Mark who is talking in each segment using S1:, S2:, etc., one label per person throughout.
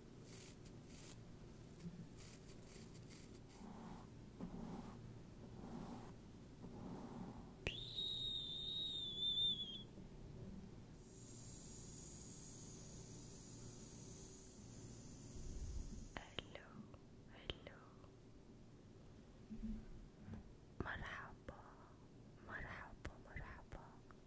S1: Hello, hello. مرحبا مرحبا مرحبا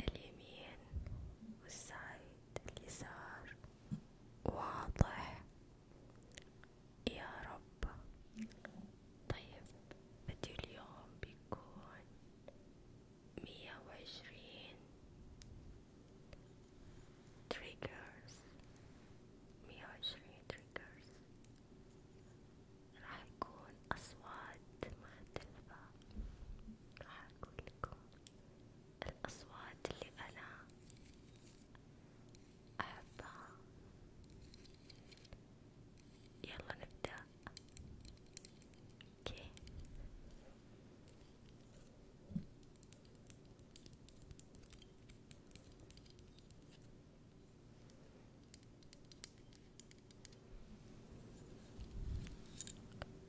S1: اليمين والسايد اليسار واضح يا رب طيب فيديو اليوم بيكون مية وعشرين triggers مية وعشرين triggers راح يكون أصوات مختلفة راح أقول لكم الأصوات اللي أنا أحبها يلا نبدأ اوكي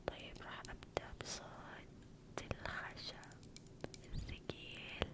S1: طيب راح أبدأ بصوت الخشب الثقيل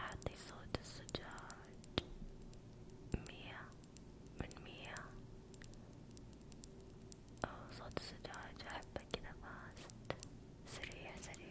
S1: أعطي صوت الزجاج مية من مية أو صوت الزجاج أحبه كذا فاست سريع سريع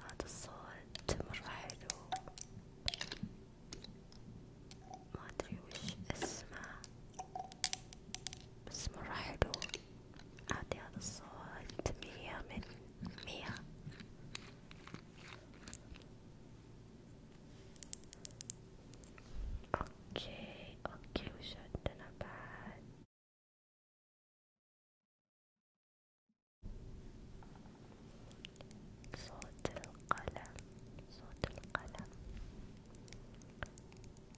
S1: هذا الصوت مرة حلو ما أدري وش اسمه بس مرة حلو أعطي هذا الصوت مية من مية اوكي اوكي وش عندنا بعد صوت القلم صوت القلم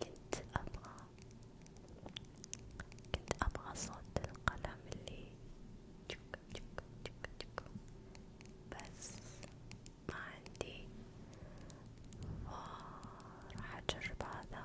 S1: كنت أبغى كنت أبغى صوت القلم اللي جوك جوك جوك جوك بس ما عندي راح أجرب هذا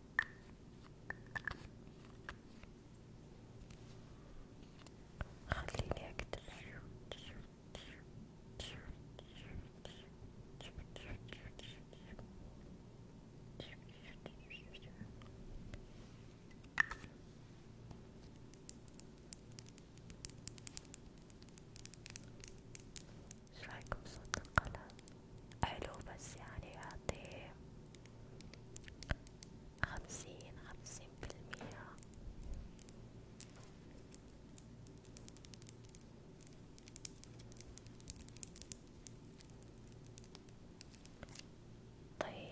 S1: خليني أكتب شو رأيكم صوت القلم؟ حلو بس يعني يعطيه خمسين خمسين بالمية طيب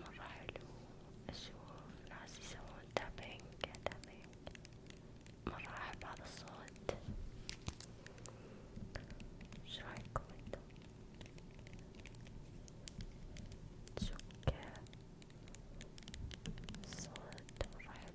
S1: مرة حلو أشوف ناس يسوون تابينج تابينج مرة أحب هذا الصوت ايش رايكم انتم؟ شكا صوت مرة حلو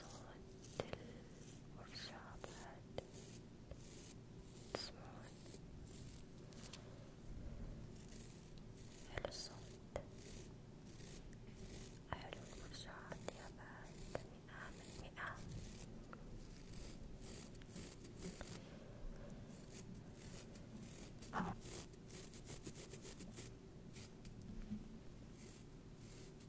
S1: صوت الورشة بعد تسمعون حلو الصوت حلو المرشحات يا بعد مئة من مئة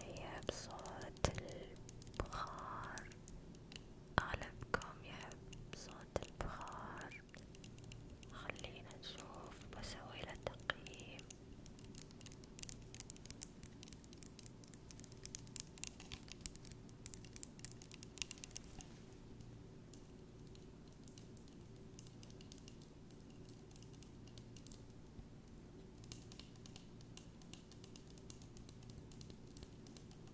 S1: طيب صوت البخار أغلبكم يحب صوت البخار أكثر خلينا نشوف بسوي له تقييم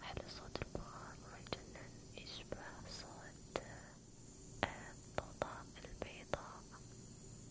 S1: هذا صوت البخار مجنن يشبه صوت الضوضاء آه، البيضاء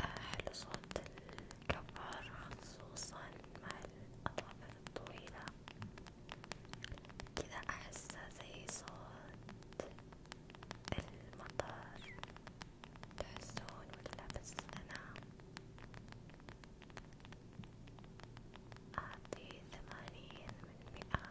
S1: حلو صوت الكبار خصوصا مع الأظافر الطويلة كذا أحسه زي صوت المطر تحسون ولا بس أنا أعطي ثمانين من مئة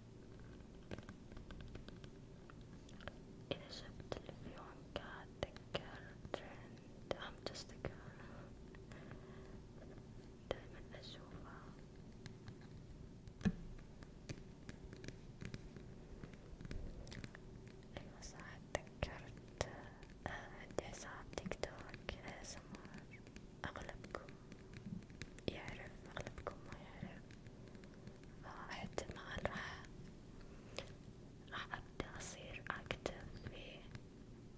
S1: إذا شفت الفيلم كاتذكر ترند هم تستكر دايما أشوفها أيوة صح تذكرت عندي حساب تيك توك أغلبكم يعرف أغلبكم ما يعرف فاحتمال راح راح أبدأ أصير أكتب في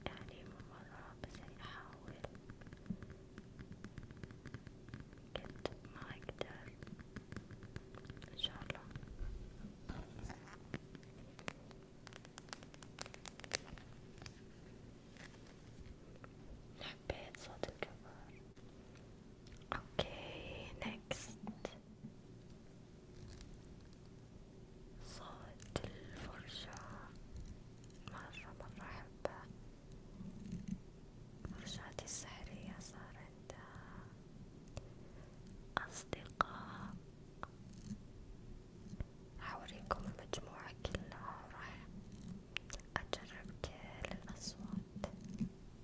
S1: يعني مو مرة بس يعني أحاول قد ما أقدر إن شاء الله. حبيت صوت الكبار اوكي نكست صوت الفرشاة مرة مرة أحبها فرشاتي السحرية صار عندها أصدقاء حوريكم المجموعة كلها وراح أجرب كل الأصوات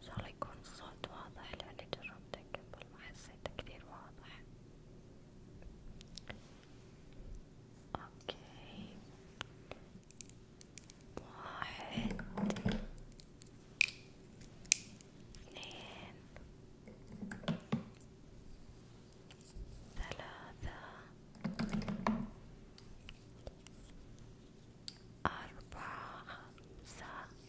S1: ان شاء الله يكون الصوت واضح لاني جربته قبل ما حسيته كثير واضح اوكي واحد اثنين ثلاثة أربعة خمسة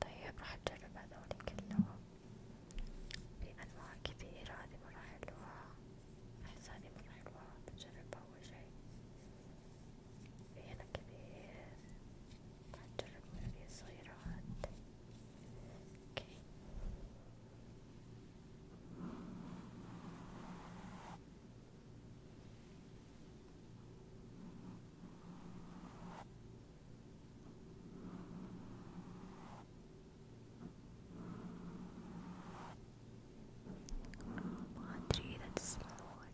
S1: طيب راح أجرب هذول كلهم بأنواع كثيرة هذي مرة حلوة أحس هذي مرة حلوة بجربها أول شي في هنا كبير راح أجرب من هذي الصغيرة هاد اوكي ما أدري إذا تسمعون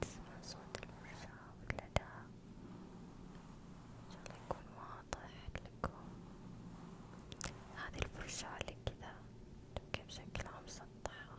S1: تسمع صوت الفرشاة ولا لا إن شاء الله يكون واضح لكم هذه الفرشاة اللي كذا تبقى بشكلها مسطحة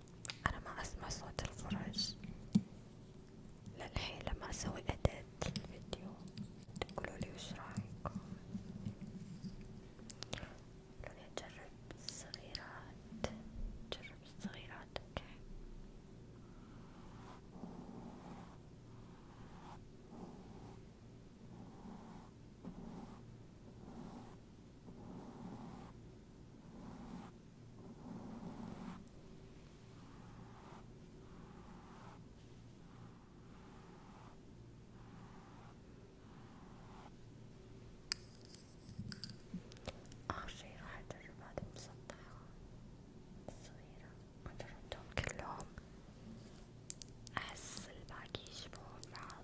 S1: أنا ما أسمع صوت الفرج للحين لما أسوي أداة الفيديو تقولولي وش رأيكم قولولي أجرب الصغيرات جرب الصغيرات أوكي آخر شي راح أجرب هذي المسطحة الصغيرة مجربتهم كلهم أحس الباقي يشبهون بعض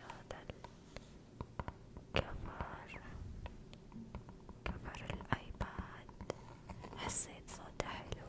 S1: هذا الكفر كفر الايباد حسيت صوته حلو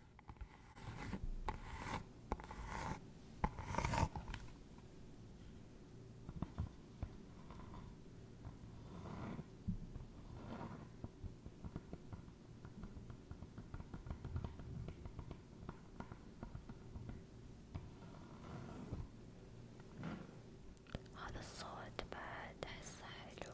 S1: هذا الصوت بعد أحسه حلو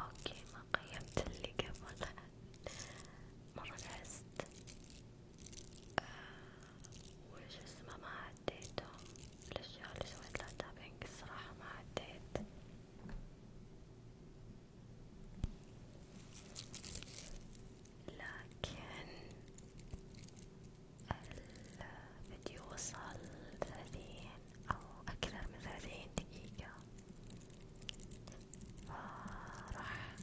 S1: اوكي ما قيمت اللي قبل مرة لعست آه وش اسمه ما عديتهم الاشياء اللي سويت لها تابينج الصراحة ما عديت لكن الفيديو وصل ثلاثين أو أكثر من ثلاثين دقيقة فراح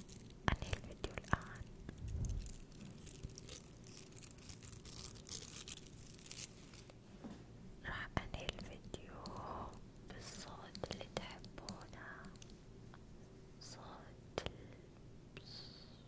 S1: أنهي الفيديو الآن راح أنهي الفيديو بالصوت اللي تحبونه صوت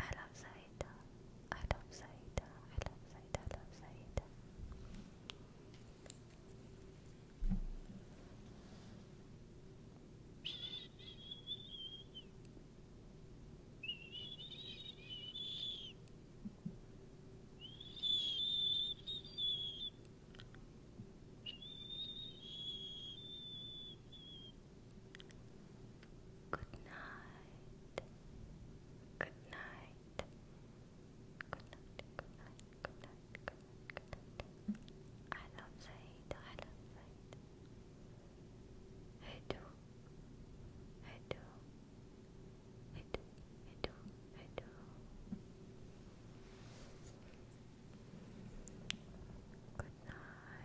S1: I love Saida. I love Saida. I love Saida. I love Saida. Good night. Good night. Good night. Good night. Good night. Good night. I love Zaid. I love Zaid. I do. I do. I do. I do. I do. Good night